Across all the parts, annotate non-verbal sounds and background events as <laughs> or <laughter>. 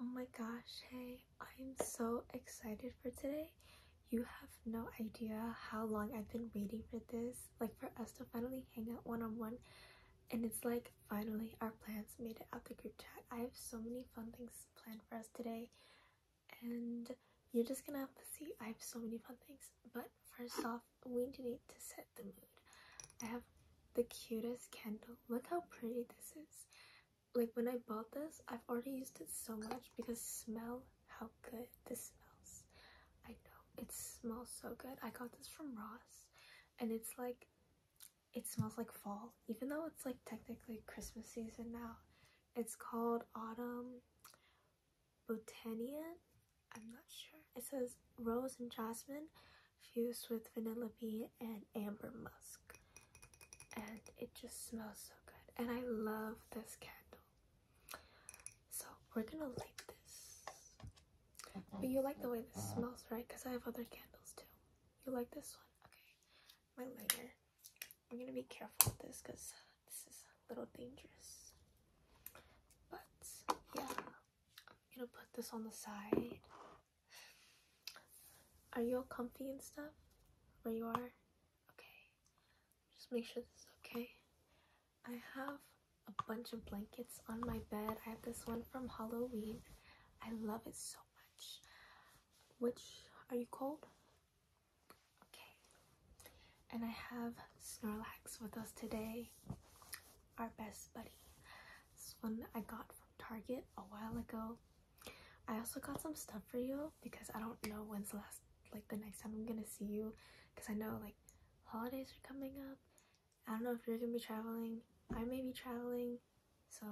Oh my gosh, hey, I'm so excited for today. You have no idea how long I've been waiting for this, like for us to finally hang out one on one. And it's like finally our plans made it out the group chat. I have so many fun things planned for us today, and you're just gonna have to see. I have so many fun things, but first off, we need to set the mood. I have the cutest candle. Look how pretty this is like when I bought this, I've already used it so much because smell how good this smells. I know it smells so good. I got this from Ross and it's like it smells like fall even though it's like technically Christmas season now. It's called Autumn Botanian. I'm not sure. It says rose and jasmine fused with vanilla bean and amber musk. And it just smells so good. And I love this candle. So we're gonna light this. But you like the way this smells, right? Because I have other candles too. You like this one? Okay. My lighter. I'm gonna be careful with this because this is a little dangerous. But yeah, I'm gonna put this on the side. Are you all comfy and stuff? Where you are? Okay. Just make sure this is okay. I have a bunch of blankets on my bed. I have this one from Halloween. I love it so much. Which are you cold? Okay. And I have Snorlax with us today. Our best buddy. This one I got from Target a while ago. I also got some stuff for you because I don't know when's last, like the next time I'm gonna see you because I know like holidays are coming up. I don't know if you're gonna be traveling. I may be traveling. So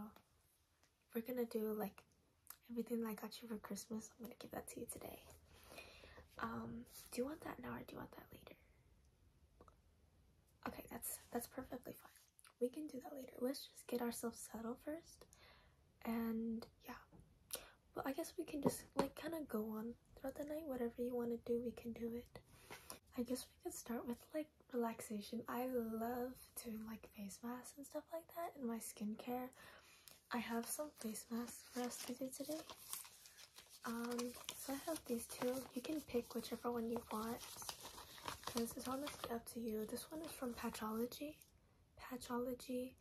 we're gonna do like everything I got you for Christmas. I'm gonna give that to you today. Um, do you want that now or do you want that later? Okay, that's that's perfectly fine we can do that later. Let's just get ourselves settled first. And yeah. But I guess we can just like kind of go on throughout the night. Whatever you want to do, we can do it. I guess we could start with like relaxation. I love doing like face masks and stuff like that in my skincare. I have some face masks for us to do today. Um, so I have these two. You can pick whichever one you want. This is honestly up to you. This one is from Patchology. Patchology.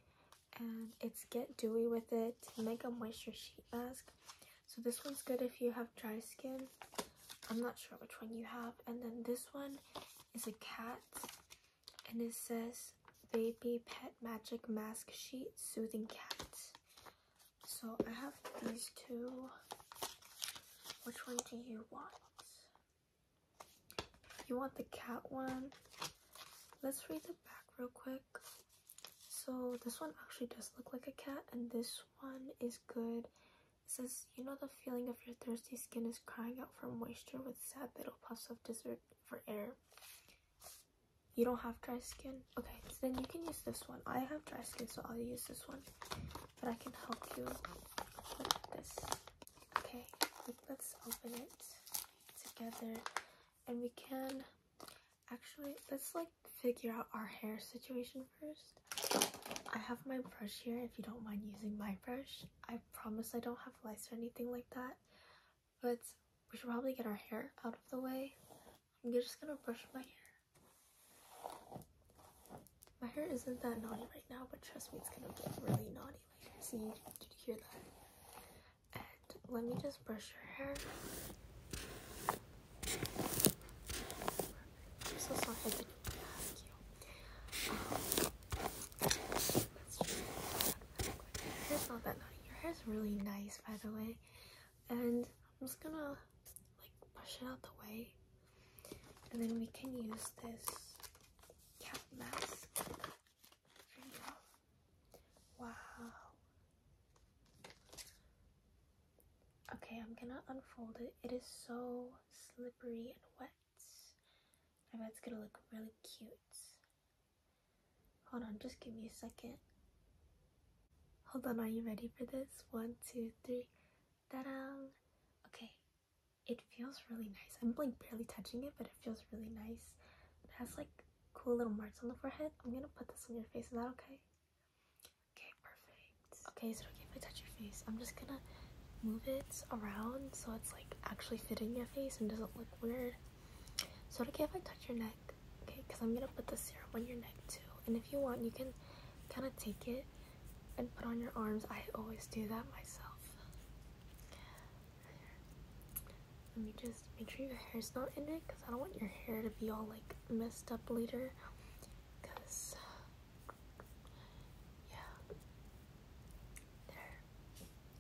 And it's Get Dewy With It Mega Moisture Sheet Mask. So this one's good if you have dry skin. I'm not sure which one you have. And then this one is a cat. And it says Baby Pet Magic Mask Sheet Soothing Cat. So I have these two. Which one do you want? You want the cat one? Let's read the back real quick. So this one actually does look like a cat and this one is good. It says, you know the feeling of your thirsty skin is crying out for moisture with sad little puffs of dessert for air. You don't have dry skin? Okay, then you can use this one. I have dry skin, so I'll use this one but I can help you with this. Okay, let's open it together and we can actually let's like figure out our hair situation first. I have my brush here if you don't mind using my brush. I promise I don't have lice or anything like that. But we should probably get our hair out of the way. I'm just gonna brush my hair. My hair isn't that naughty right now, but trust me, it's gonna get really naughty later. See, did you hear that? And let me just brush your hair. I'm so sorry I didn't ask you. Um, your hair's not that naughty. Your hair's really nice, by the way. And I'm just gonna like push it out the way. And then we can use this cat mask Wow. Okay, I'm gonna unfold it. It is so slippery and wet. I bet it's gonna look really cute. Hold on, just give me a second. Hold on, are you ready for this? One, two, three. Ta-da! Okay, it feels really nice. I'm like barely touching it, but it feels really nice. It has like cool little marks on the forehead. I'm gonna put this on your face. Is that okay? Okay, perfect. Okay, so don't okay if I touch your face? I'm just gonna move it around so it's like actually fitting your face and doesn't look weird. So don't okay if I touch your neck? Okay, because I'm gonna put the serum on your neck too. And if you want, you can kind of take it and put on your arms. I always do that myself. Let me just make sure your hair's not in it because I don't want your hair to be all like messed up later. Because, yeah. There.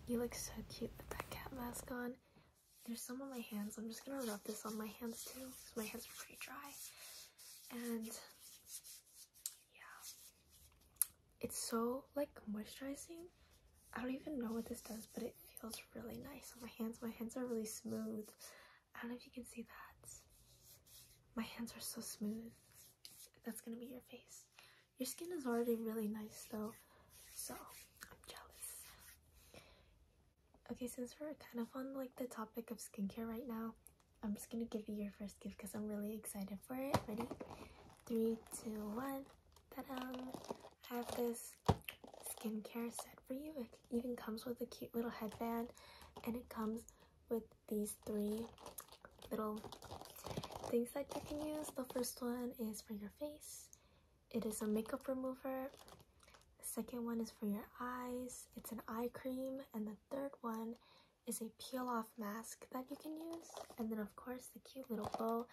You look so cute with that cat mask on. There's some on my hands. I'm just going to rub this on my hands too because my hands are pretty dry. And yeah it's so like moisturizing i don't even know what this does but it feels really nice on my hands my hands are really smooth i don't know if you can see that my hands are so smooth that's gonna be your face your skin is already really nice though so i'm jealous okay since we're kind of on like the topic of skincare right now I'm just gonna give you your first gift because I'm really excited for it. Ready? Three, two, one. Ta-da! I have this skincare set for you. It even comes with a cute little headband, and it comes with these three little things that you can use. The first one is for your face. It is a makeup remover. The second one is for your eyes. It's an eye cream, and the third one is a peel-off mask that you can use. And then, of course, the cute little bow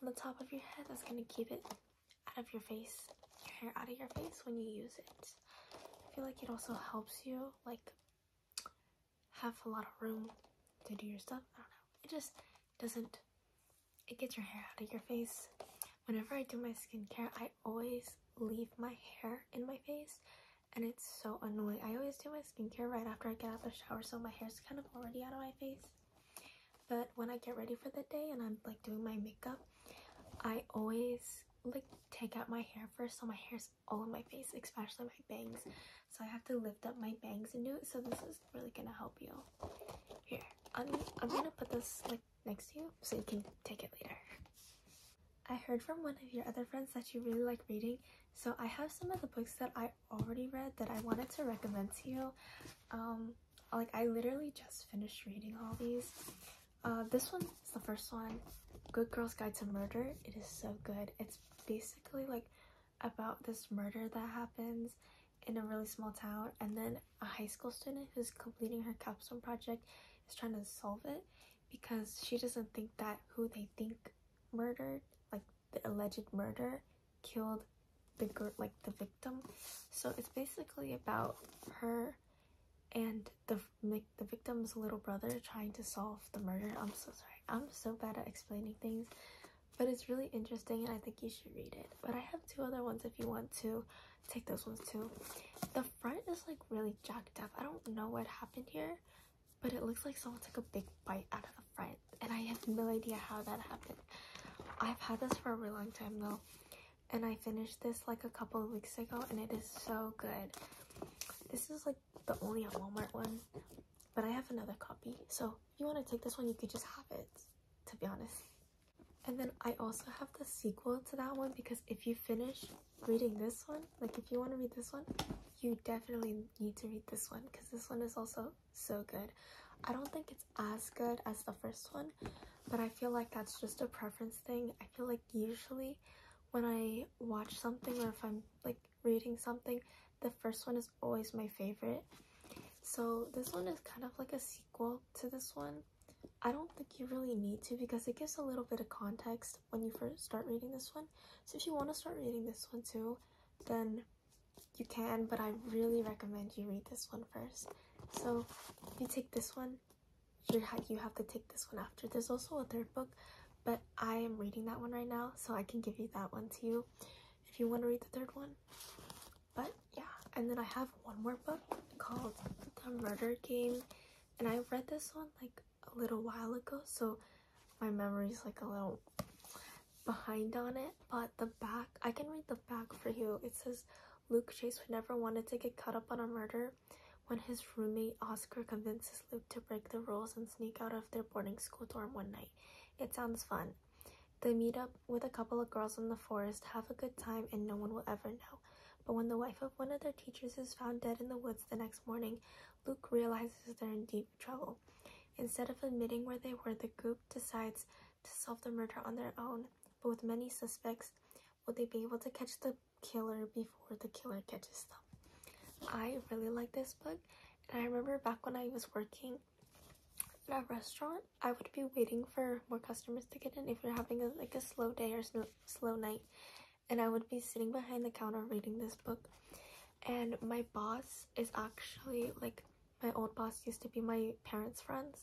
on the top of your head that's going to keep it out of your face, your hair out of your face when you use it. I feel like it also helps you, like, have a lot of room to do your stuff. I don't know. It just doesn't, it gets your hair out of your face. Whenever I do my skincare, I always leave my hair in my face and it's so annoying. I always do my skincare right after I get out the shower so my hair is kind of already out of my face. But when I get ready for the day and I'm like doing my makeup, I always like take out my hair first so my hair is all in my face, especially my bangs. So I have to lift up my bangs and do it. So this is really gonna help you. Here, I'm, I'm gonna put this like next to you so you can take it later. I heard from one of your other friends that you really like reading, so I have some of the books that I already read that I wanted to recommend to you. Um, like I literally just finished reading all these. Uh, this one is the first one, Good Girl's Guide to Murder. It is so good. It's basically like about this murder that happens in a really small town, and then a high school student who's completing her capstone project is trying to solve it because she doesn't think that who they think murdered, like the alleged murder, killed the girl, like the victim. So it's basically about her and the the victim's little brother trying to solve the murder. I'm so sorry. I'm so bad at explaining things, but it's really interesting and I think you should read it. But I have two other ones if you want to take those ones too. The front is like really jacked up. I don't know what happened here but it looks like someone took a big bite out of the front and I have no idea how that happened. I've had this for a really long time though and I finished this like a couple of weeks ago and it is so good. This is like the only Walmart one but I have another copy so if you want to take this one you could just have it to be honest. And then I also have the sequel to that one because if you finish reading this one like if you want to read this one, you definitely need to read this one because this one is also so good. I don't think it's as good as the first one, but I feel like that's just a preference thing. I feel like usually when I watch something or if I'm like reading something, the first one is always my favorite. So this one is kind of like a sequel to this one. I don't think you really need to because it gives a little bit of context when you first start reading this one. So if you want to start reading this one too, then you can, but I really recommend you read this one first. So if you take this one, you ha you have to take this one after. There's also a third book, but I am reading that one right now, so I can give you that one too if you want to read the third one. But yeah, and then I have one more book called The Murder Game, and I read this one like a little while ago, so my memory's like a little behind on it but the back i can read the back for you it says luke chase would never wanted to get caught up on a murder when his roommate oscar convinces luke to break the rules and sneak out of their boarding school dorm one night it sounds fun they meet up with a couple of girls in the forest have a good time and no one will ever know but when the wife of one of their teachers is found dead in the woods the next morning Luke realizes they're in deep trouble. Instead of admitting where they were, the group decides to solve the murder on their own. But with many suspects, will they be able to catch the killer before the killer catches them? I really like this book, and I remember back when I was working at a restaurant, I would be waiting for more customers to get in if we are having a, like a slow day or slow night, and I would be sitting behind the counter reading this book and my boss is actually like my old boss used to be my parents' friends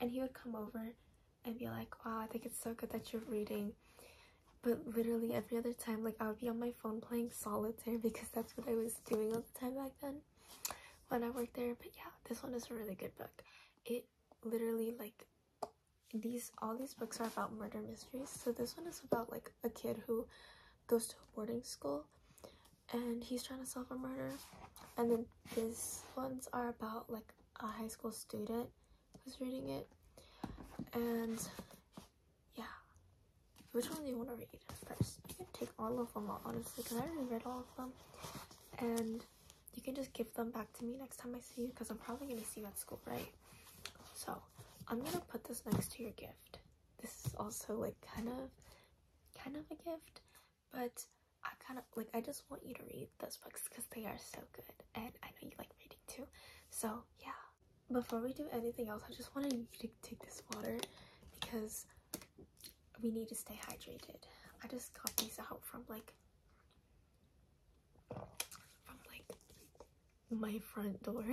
and he would come over and be like wow i think it's so good that you're reading but literally every other time like i would be on my phone playing solitaire <laughs> because that's what i was doing all the time back then when i worked there but yeah this one is a really good book it literally like these all these books are about murder mysteries so this one is about like a kid who goes to a boarding school and he's trying to solve a murder. And then these ones are about like a high school student who's reading it. And yeah, which one do you want to read first? You can take all of them honestly, because I already read all of them. And you can just give them back to me next time I see you because I'm probably going to see you at school, right? So I'm going to put this next to your gift this is also like kind of kind of a gift but i kind of like i just want you to read those books because they are so good and i know you like reading too so yeah before we do anything else i just wanted you to take this water because we need to stay hydrated i just got these out from like from like my front door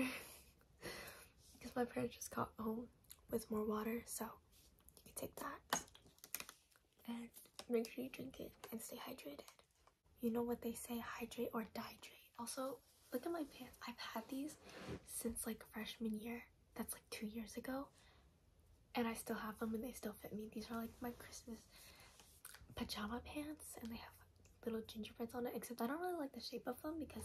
because <laughs> my parents just got home with more water so you can take that and make sure you drink it and stay hydrated you know what they say hydrate or dihydrate also look at my pants i've had these since like freshman year that's like two years ago and i still have them and they still fit me these are like my christmas pajama pants and they have little gingerbreads on it except I don't really like the shape of them because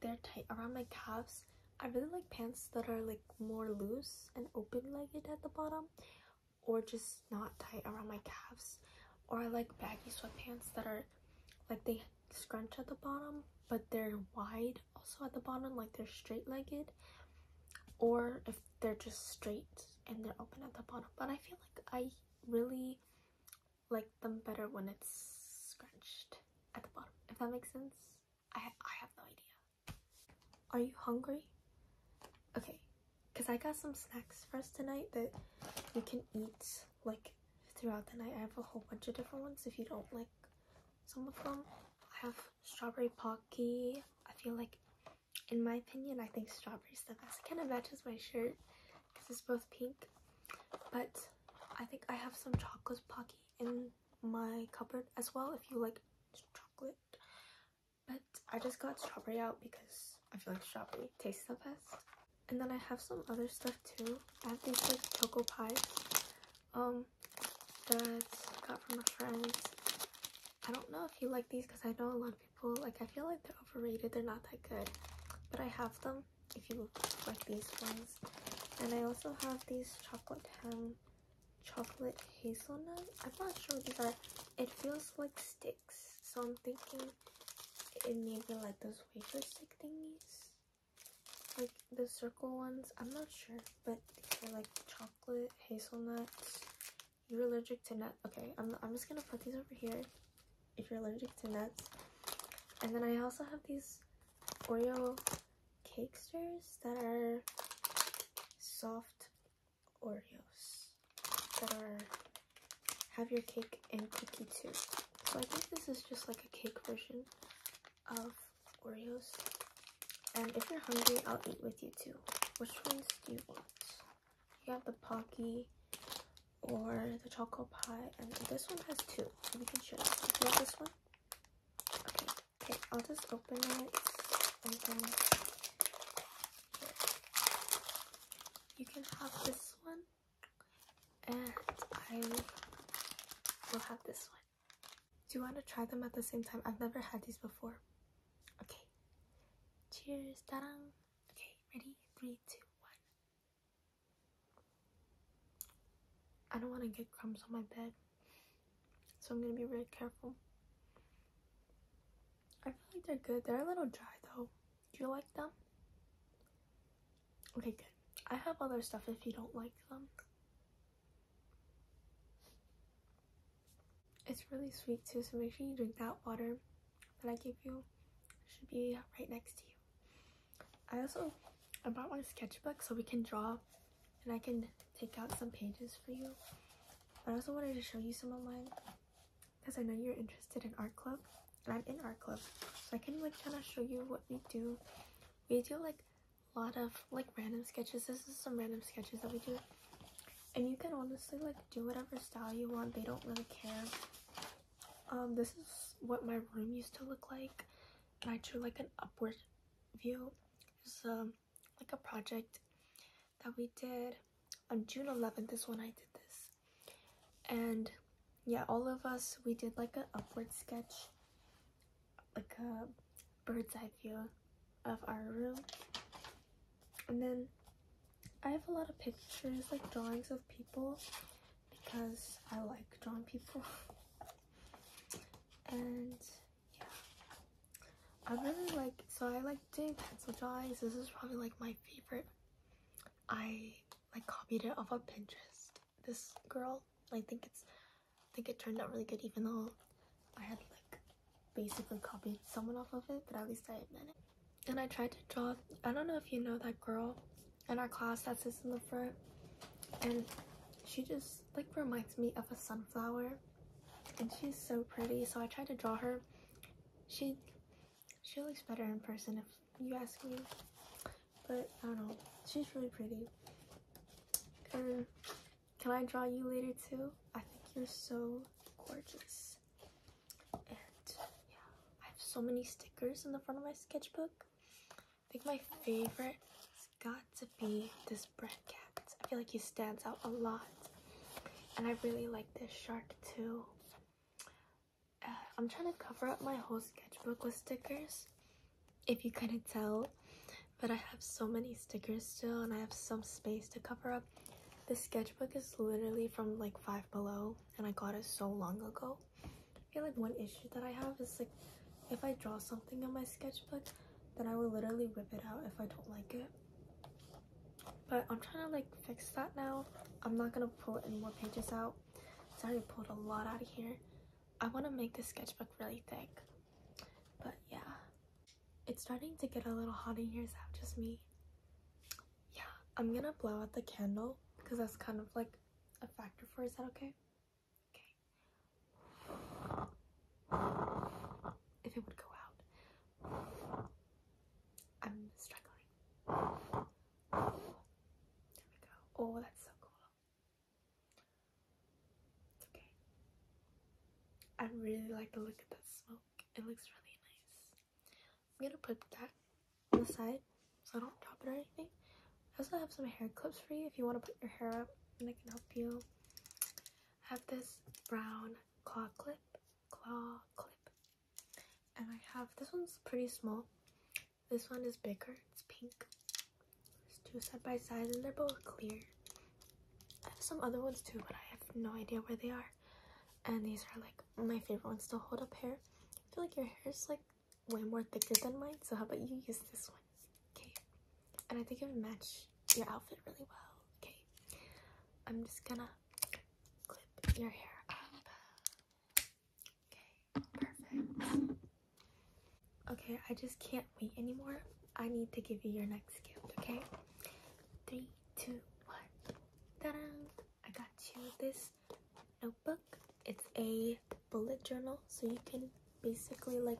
they're tight around my calves. I really like pants that are like more loose and open-legged at the bottom or just not tight around my calves. Or I like baggy sweatpants that are like they scrunch at the bottom but they're wide also at the bottom like they're straight-legged or if they're just straight and they're open at the bottom but I feel like I really like them better when it's scrunched at the bottom, if that makes sense. I, I have no idea. Are you hungry? Okay, because I got some snacks for us tonight that you can eat like throughout the night. I have a whole bunch of different ones if you don't like some of them. I have strawberry pocky. I feel like, in my opinion, I think strawberries the best. It kind of matches my shirt because it's both pink. But I think I have some chocolate pocky in my cupboard as well if you like chocolate. But I just got strawberry out because I feel like strawberry tastes the best. And then I have some other stuff too. I have these like choco pies um, that has got from a friend. I don't know if you like these because I know a lot of people, like I feel like they're overrated, they're not that good. But I have them if you like these ones. And I also have these chocolate ham chocolate hazelnut. I'm not sure what these are. It feels like sticks. So I'm thinking it may be like those wafer stick thingies. Like the circle ones. I'm not sure. But these are like chocolate hazelnuts. You're allergic to nut. Okay, I'm, I'm just gonna put these over here if you're allergic to nuts. And then I also have these Oreo cakesters that are soft Oreos that are have your cake and cookie too. So I think this is just like a cake version of Oreos. And if you're hungry, I'll eat with you too. Which ones do you want? You have the Pocky, or the chocolate pie. And this one has two. We can share. you. want this one? Okay. Okay, I'll just open it and you can have this one and I will have this one. Do you want to try them at the same time? I've never had these before. Okay. Cheers. Ta-da. Okay, ready? Three, two, one. I don't want to get crumbs on my bed, so I'm gonna be really careful. I feel like they're good. They're a little dry though. Do you like them? Okay, good. I have other stuff if you don't like them. It's really sweet too, so make sure you drink that water that I gave you. should be right next to you. I also I brought my sketchbook so we can draw and I can take out some pages for you. I also wanted to show you some of mine because I know you're interested in art club and I'm in art club. So I can like kind of show you what we do. We do like a lot of like random sketches. This is some random sketches that we do. And you can honestly like do whatever style you want. They don't really care. Um, this is what my room used to look like, and I drew like an upward view. It's um like a project that we did on June 11th is when I did this, and yeah, all of us we did like an upward sketch, like a bird's eye view of our room, and then I have a lot of pictures like drawings of people because I like drawing people. <laughs> and yeah. I really like, so I like doing pencil drawings. This is probably like my favorite. I like copied it off of Pinterest. This girl, I think it's, I think it turned out really good even though I had like basically copied someone off of it, but at least I admit it. And I tried to draw, I don't know if you know that girl, in our class that sits in the front and she just like reminds me of a sunflower and she's so pretty so I tried to draw her she she looks better in person if you ask me but I don't know she's really pretty can I draw you later too I think you're so gorgeous and yeah I have so many stickers in the front of my sketchbook I think my favorite has got to be this bread Cat. I feel like he stands out a lot. And I really like this shark too. Uh, I'm trying to cover up my whole sketchbook with stickers. If you couldn't tell. But I have so many stickers still and I have some space to cover up. This sketchbook is literally from like 5 below and I got it so long ago. I feel like one issue that I have is like if I draw something on my sketchbook, then I will literally rip it out if I don't like it. But I'm trying to like fix that now. I'm not gonna pull any more pages out. I already pulled a lot out of here. I wanna make this sketchbook really thick. But yeah. It's starting to get a little hot in here, is that just me? Yeah, I'm gonna blow out the candle because that's kind of like a factor for is that okay? Okay. If it would go out. I'm struggling. There we go. Oh, that's so cool. It's okay. I really like the look of that smoke. It looks really nice. I'm gonna put that on the side so I don't drop it or anything. I also have some hair clips for you if you want to put your hair up and I can help you. I have this brown claw clip, claw clip, and I have this one's pretty small. This one is bigger, it's pink. It's two side by side and they're both clear. I have some other ones too, but I have no idea where they are. And these are like my favorite ones to hold up hair. I feel like your hair is like way more thicker than mine. So how about you use this one? Okay. And I think it would match your outfit really well. Okay. I'm just gonna clip your hair up. Okay, perfect. Okay, I just can't wait anymore. I need to give you your next gift, okay? Three, two, one. Ta-da! I got you this note notebook. It's a bullet journal, so you can basically like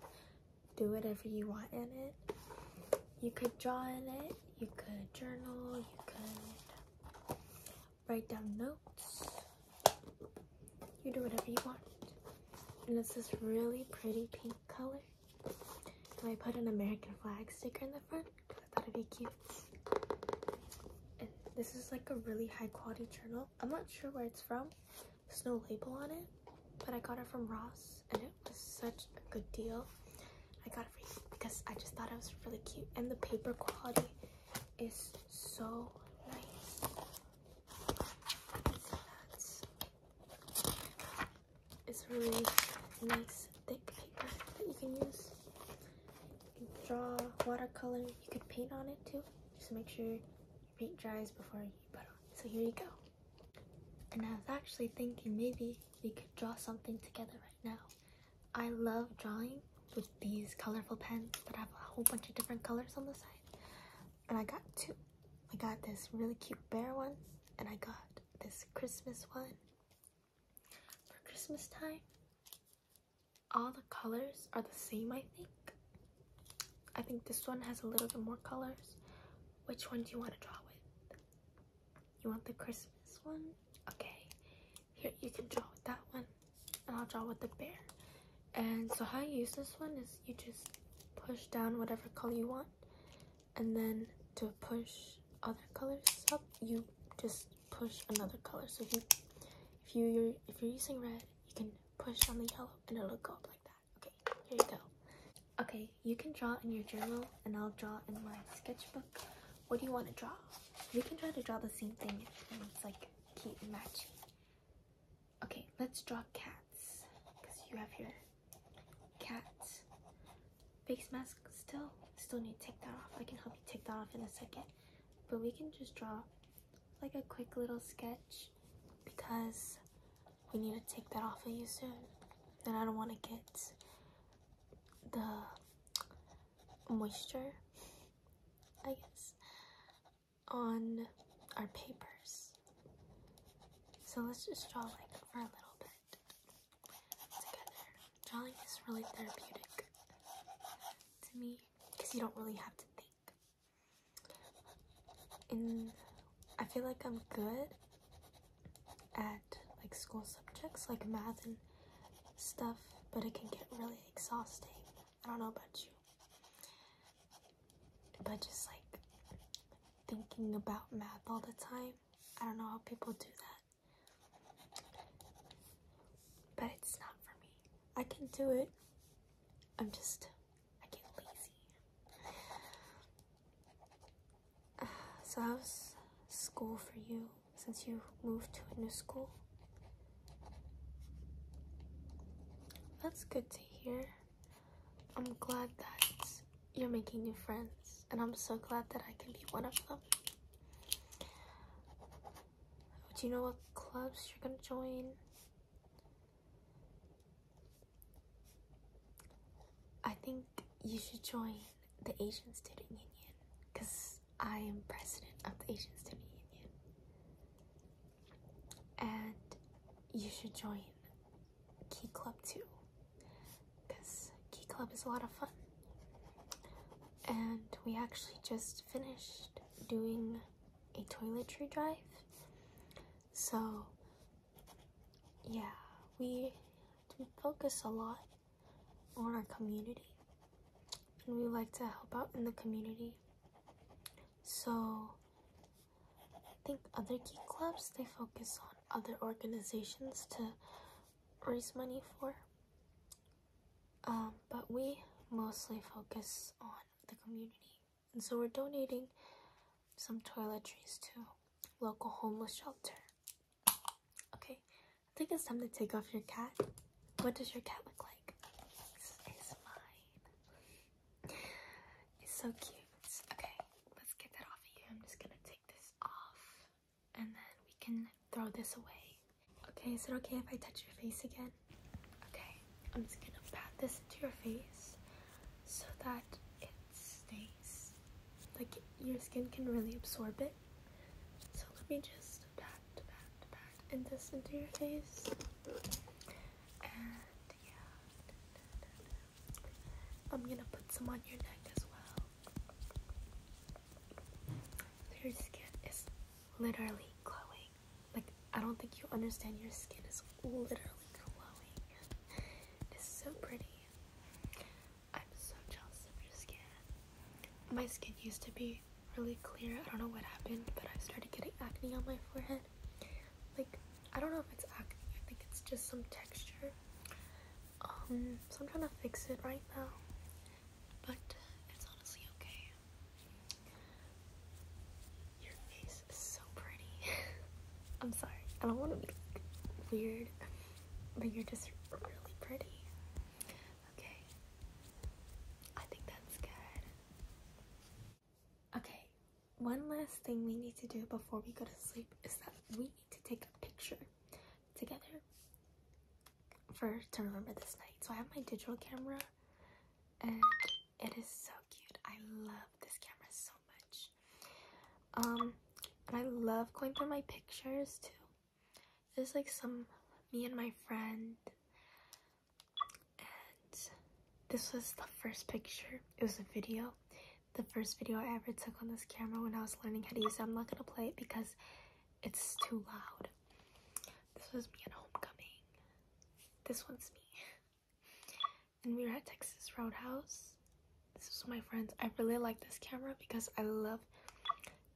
do whatever you want in it. You could draw in it, you could journal, you could write down notes. You do whatever you want. And it's this really pretty pink color. And I put an American flag sticker in the front because I thought it'd be cute. And this is like a really high quality journal. I'm not sure where it's from. There's no label on it, but I got it from Ross and it was such a good deal. I got it for because I just thought it was really cute and the paper quality is so nice. It's really nice thick paper that you can use. You can draw watercolor. You could paint on it too. Just make sure Paint dries before you put on. So here you go. And I was actually thinking maybe we could draw something together right now. I love drawing with these colorful pens that have a whole bunch of different colors on the side. And I got two. I got this really cute bear one and I got this Christmas one for Christmas time all the colors are the same I think. I think this one has a little bit more colors. Which one do you want to draw with? You want the Christmas one? Okay. Here, you can draw with that one. And I'll draw with the bear. And so how you use this one is you just push down whatever color you want. And then to push other colors up, you just push another color. So if you, if you, if you're using red, you can push on the yellow and it'll go up like that. Okay, here you go. Okay, you can draw in your journal and I'll draw in my sketchbook. What do you want to draw? We can try to draw the same thing and it's like keep matching. Okay, let's draw cats because you have here cats face mask still. Still need to take that off. I can help you take that off in a second. But we can just draw like a quick little sketch because we need to take that off of you soon. And I don't want to get the moisture, I guess, on our papers. So let's just draw like for a little bit together. Drawing is really therapeutic to me because you don't really have to think. And I feel like I'm good at like school subjects like math and stuff, but it can get really exhausting. I don't know about you. But just like thinking about math all the time, I don't know how people do that. But it's not for me. I can do it. I'm just I get lazy. <sighs> so how's school for you since you moved to a new school? That's good to hear. I'm glad that you're making new friends, and I'm so glad that I can be one of them. Do you know what clubs you're gonna join? I think you should join the Asian Student Union because I am president of the Asian Student Union. And you should join Key Club too because Key Club is a lot of fun. And we actually just finished doing a toiletry drive. So, yeah, we, we focus a lot on our community and we like to help out in the community. So, I think other key clubs they focus on other organizations to raise money for. Um, but we mostly focus on the community. And so we're donating some toiletries to local homeless shelter. Okay, I think it's time to take off your cat. What does your cat look like? This is mine. It's so cute. Okay, let's get that off of you. I'm just gonna take this off and then we can throw this away. Okay, is it okay if I touch your face again? Okay, I'm just gonna pat this into your face so that it stays like your skin can really absorb it. So let me just pat, pat, pat, and this into your face. And yeah, I'm gonna put some on your neck as well. Your skin is literally glowing. Like, I don't think you understand. Your skin is literally glowing. It's so pretty. I'm so jealous of your skin. My skin used to be really clear. I don't know what happened, but I started getting acne on my forehead. Like, I don't know if it's acne. I think it's just some texture. Um, so I'm trying to fix it right now. But it's honestly okay. Your face is so pretty. <laughs> I'm sorry. I don't want to be weird, but you're just really pretty. Okay. I think that's good. Okay. One last thing we need to do before we go to sleep is that we need to take a picture together for to remember this night. So I have my digital camera and it is so cute. I love this camera so much. Um, and I love going through my pictures too. There's like some me and my friend. And this was the first picture. It was a video. The first video I ever took on this camera when I was learning how to use it. I'm not gonna play it because it's too loud. This was me at homecoming. This one's me. <laughs> and we are at Texas Roadhouse. This is my friends. I really like this camera because I love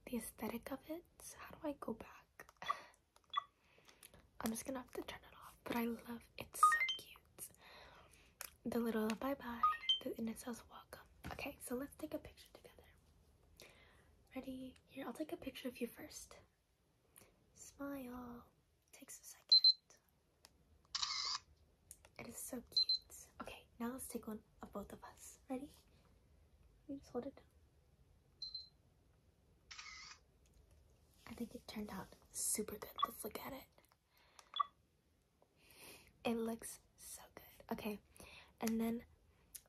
the aesthetic of it. So how do I go back? <sighs> I'm just gonna have to turn it off, but I love it's so cute. The little bye bye, the, and it says welcome. Okay, so let's take a picture together. Ready? Here, I'll take a picture of you first. Smile. Takes a second. It is so cute. Okay, now let's take one of both of us. Ready? You just hold it I think it turned out super good. Let's look at it. It looks so good. Okay, and then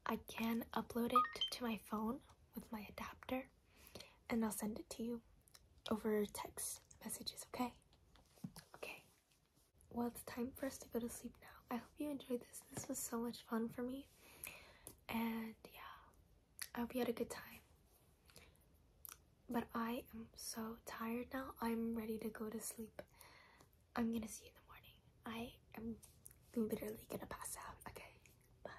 I can upload it to my phone with my adapter and I'll send it to you over text messages, okay? Okay. Well, it's time for us to go to sleep now. I hope you enjoyed this. This was so much fun for me. And yeah, I hope you had a good time. But I am so tired now. I'm ready to go to sleep. I'm gonna see you in the morning. I am literally gonna pass out. Okay.